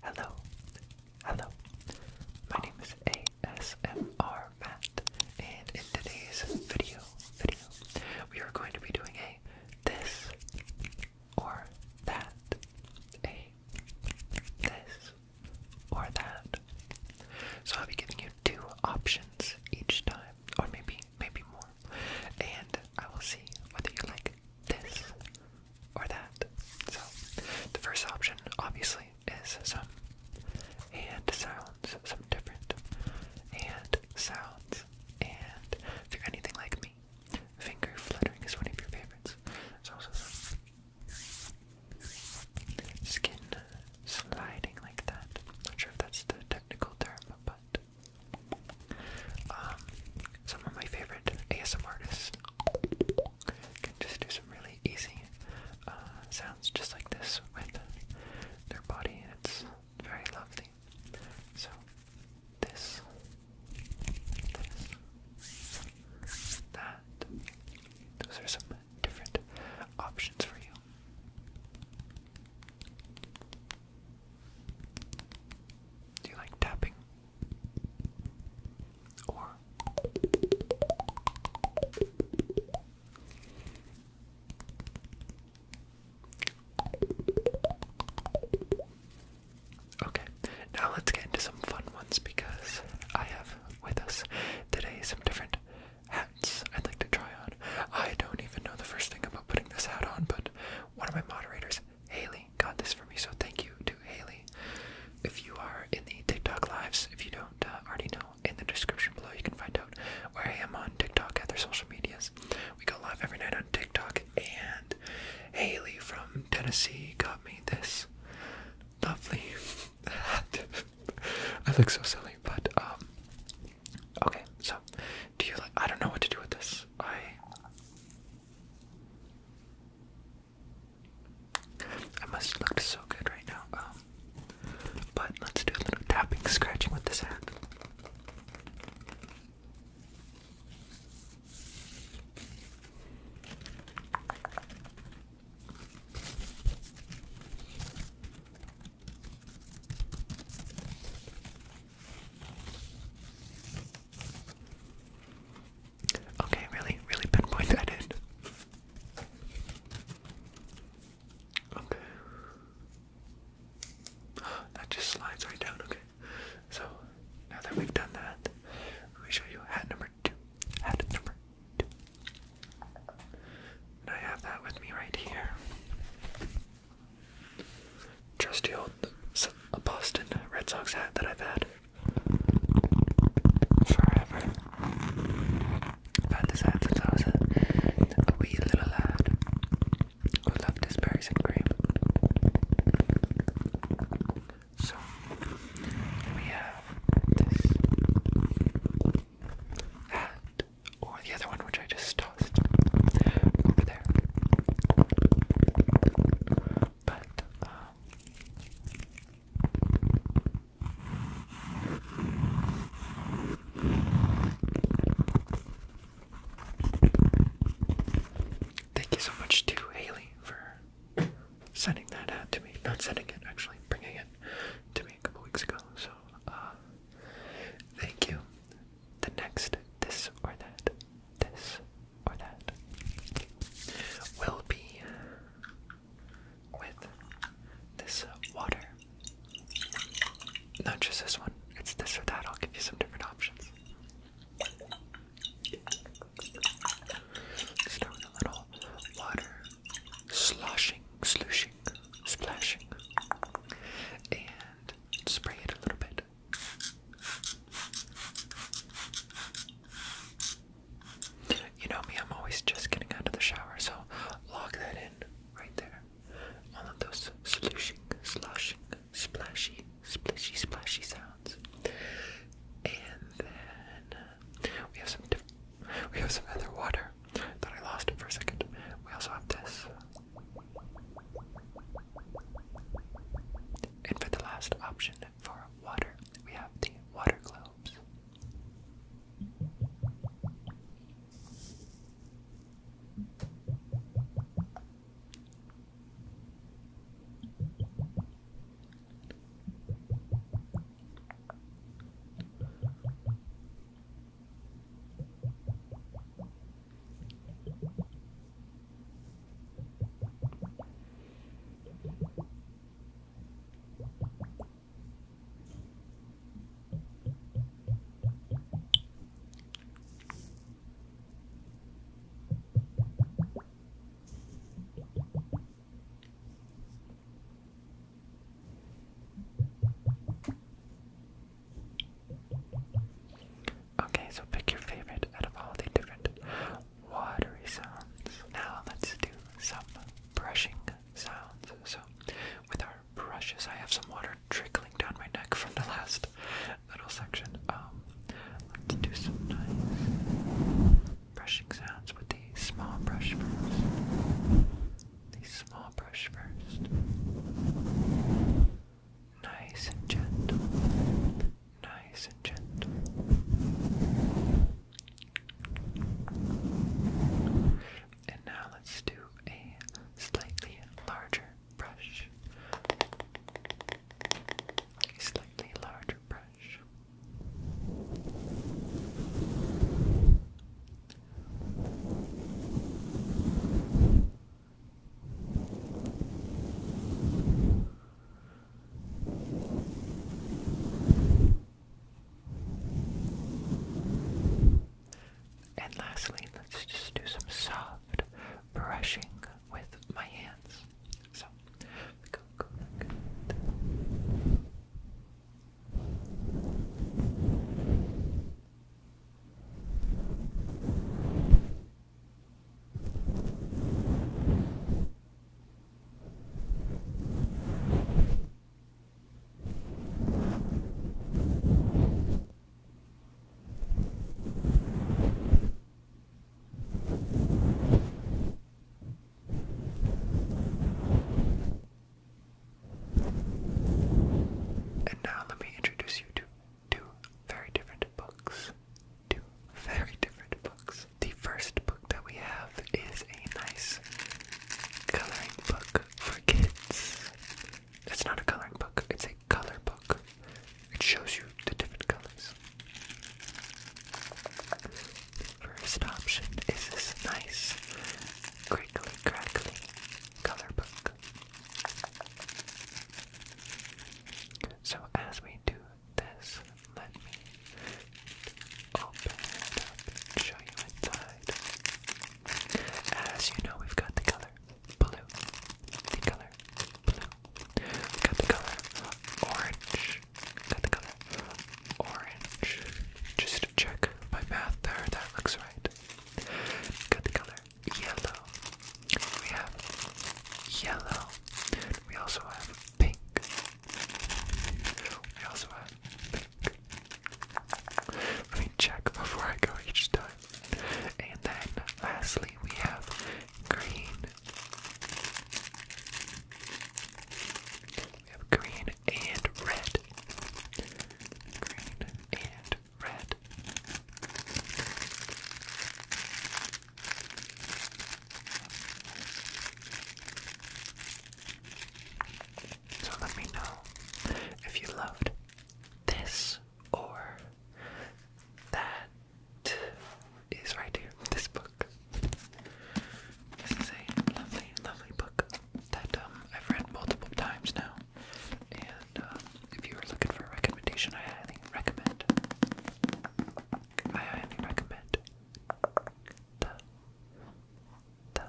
Hello, hello. My name is ASMR Matt, and in today's video, video, we are going to be doing a this or that, a this or that. So I'll be giving you two options each time, or maybe maybe more, and I will see whether you like this or that. So, the first option, obviously, is some hand sounds, some different hand sounds. And if you're anything like me, finger fluttering is one of your favorites. It's also some skin sliding like that. Not sure if that's the technical term, but. Um, some of my favorite ASMR artists can just do some really easy uh, sounds just like this with their body. It's very lovely. So, this, this, that. Those are some different options for you. Do you like tapping? Okay, now let's get into some fun ones because I have with us today some different hats I'd like to try on. I don't even know the first thing about putting this hat on, but one of my moderators Haley got this for me, so thank you to Haley. If you are in the TikTok lives, if you don't uh, already know, in the description below you can find out where I am on TikTok at their social medias. We go live every night on TikTok, and Haley from Tennessee got me this lovely hat. I look so silly, but um, okay. So, do you like? I don't know what to do with this. I. I must look so good right now. Um, but let's do a little tapping, scratching with this hand. Okay, really, really pinpoint that in. Okay. That just slides right down, okay. So, now that we've done that, let me show you hat number two. Hat number two. And I have that with me right here. Trusty old Boston Red Sox hat that I've had forever. But decided to toss it a wee little lad who loved his berries and cream. So we have this hat, or the other one which I just tossed over there. But um, Thank you so much to Haley for sending that out to me. Not sending it, actually, bringing it to me a couple weeks ago. So, uh, thank you. The next, this or that, this or that will be with this water. Not just this one, it's this or that. I'll give you some different options. Start with a little water sloshing, slushing, splashing, and spray it a little bit you know me, I'm always just getting out of the shower, so log that in right there. All of those slushing, sloshing, splashy, splishy, splashy sounds. And then uh, we have some we have some other water. that I lost it for a second. We also have this. And for the last option, for water, we have the water globes. Okay, so pick your favorite out of all the different watery sounds. Now let's do some brushing sounds. So, with our brushes, I have some water trickling down my neck from the last little section. Um, let's do some nice brushing sounds with the small brush first. The small brush first. Nice and gentle nice and gentle. And now let's do a slightly larger brush. A slightly larger brush. And lastly, let's just do some soft brushing with my hands. So, go, go, go. And now let me introduce you to two very different books two very different books. The first book that we have is a nice coloring book for kids. It's not a coloring book, it's a color book. It shows you the different colors. First option is this nice crinkly crackly color book. So as we do this, let me open it up and show you inside. As you know, we've got the color blue, the color blue, we've got the color orange, we've got the color orange. Just to check my math there, that looks right. We've got the color yellow. We have yellow. We also have pink. We also had Let me check before I go each time. And then lastly, we have green. We have green and red. Green and red. So let me know if you loved this or that is right here, this book. This is a lovely, lovely book that um, I've read multiple times now. And um, if you are looking for a recommendation, I highly recommend I highly recommend the the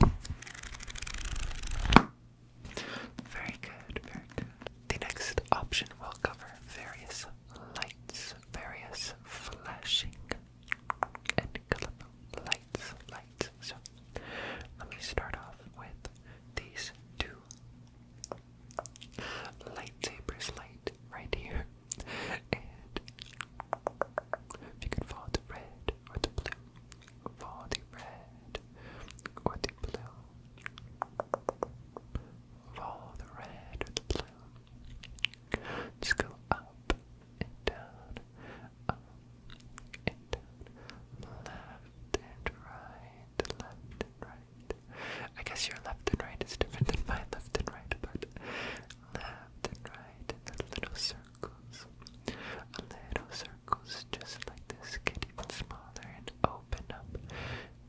Very good, very good. The next option will cover various lights, various flashing and colorful lights, lights. So let me start off with these two lightsabers light right here. And if you could follow the red or the blue, for the red or the blue. For the red or the blue. Just go up and down, up and down, left and right, left and right. I guess your left and right is different than my left and right, but left and right in a little circle circles. Little circles just like this get smaller and open up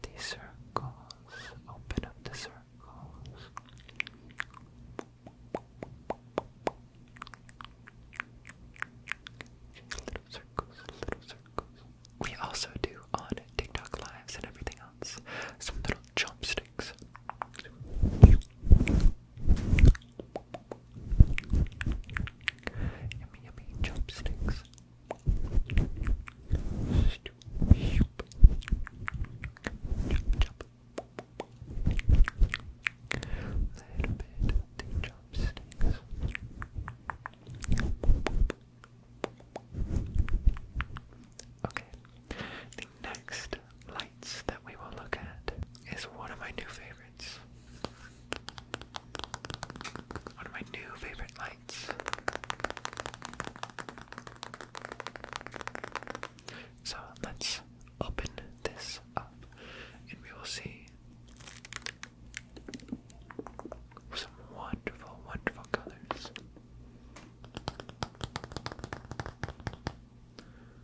the circles. Open up the circles. Little circles, little circles. We also do on TikTok lives and everything else some little chopsticks. Yummy, yummy chopsticks. Stoop. Chop, chop. Little bit chopsticks. Okay. next lights that we will look at is one of my new favorites. One of my new favorite lights. So let's open this up and we will see some wonderful, wonderful colors.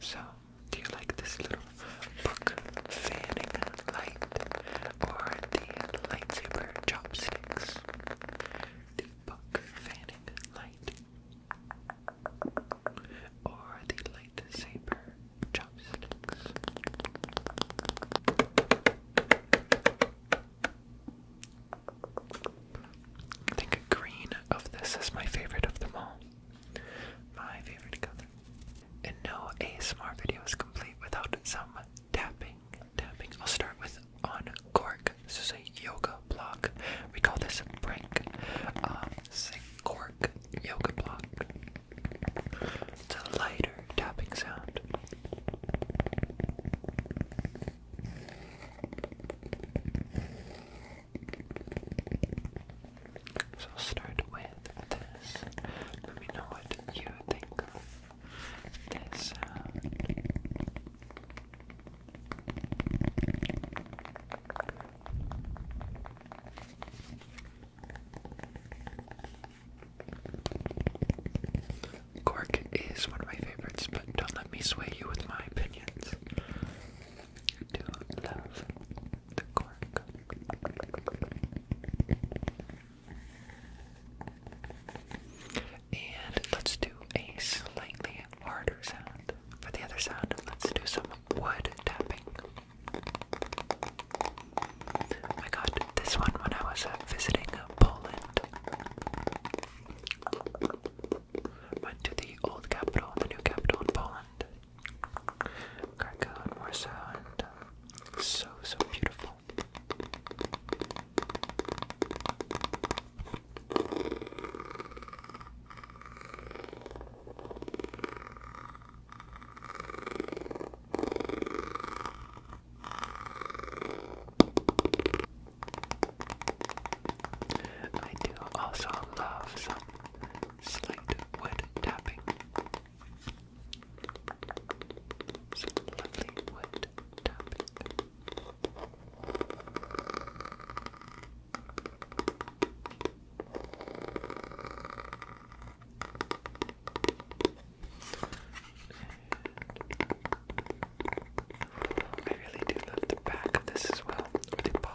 So, do you like this little book fanning light or the lightsaber chopsticks? The book fanning light or the lightsaber chopsticks? I think green of this is my favorite of them all. My favorite color. And no ASMR video is complete without some tapping. Tapping. I'll start with on cork. This is a yoga block. We call this a break. Um, cork yoga block. It's a lighter tapping sound. So start with this. Let me know what you think of this uh, Cork is one of my favorites, but don't let me sway you with my opinions. do love the cork. And let's do a slightly harder sound. For the other sound, let's do some wood tapping. I got this one when I was uh, visiting Poland. Went to the old capital and the new capital in Poland. Krakow and Warsaw, and um, so, so beautiful. I do also love some slight wood tapping. Some wood tapping. I really do love the back of this as well, or the bottom.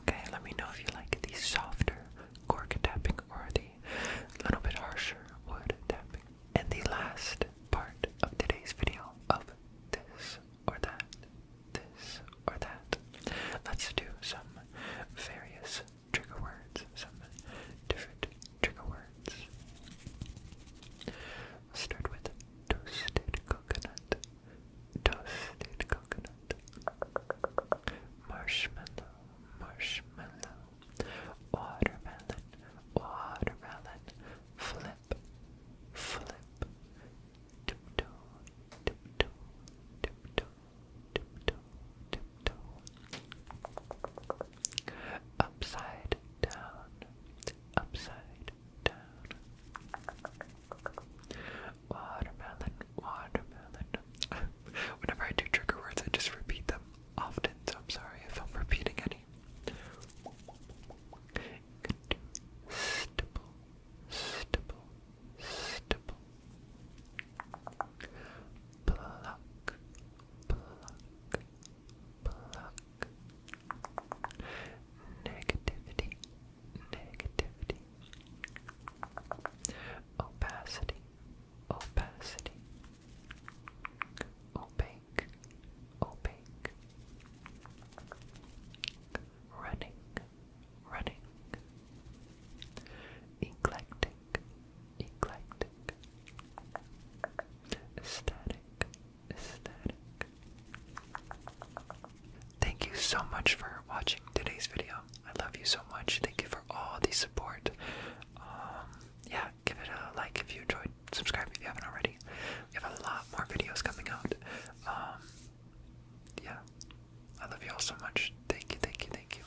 Okay, let me know if you like the softer cork tapping or the little bit harsher wood tapping. And the last part of today's video of this or that, this or that. Let's do some various trigger words, some different trigger words. start with toasted coconut toasted coconut, marshmallow, marshmallow, watermelon, watermelon, flip, flip, tiptoe, tiptoe, tiptoe, tiptoe, tiptoe, upside down, upside down. Watermelon, watermelon. Whenever I do trigger words, I just repeat them often, so I'm sorry if I'm repeating any. Could do stipple, stipple, stipple. Pluck, Negativity, negativity, opacity, opacity, opaque, opaque, running, running, eclectic, eclectic, static, static. Thank you so much for watching today's video. I love you so much. Thank you for all the support. Um, yeah, give it a like if you enjoyed. Subscribe if you haven't already. We have a lot more videos coming out. Um, yeah, I love you all so much. Thank you, thank you, thank you.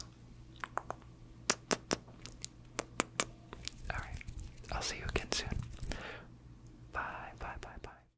Alright, I'll see you again soon. Bye, bye, bye, bye.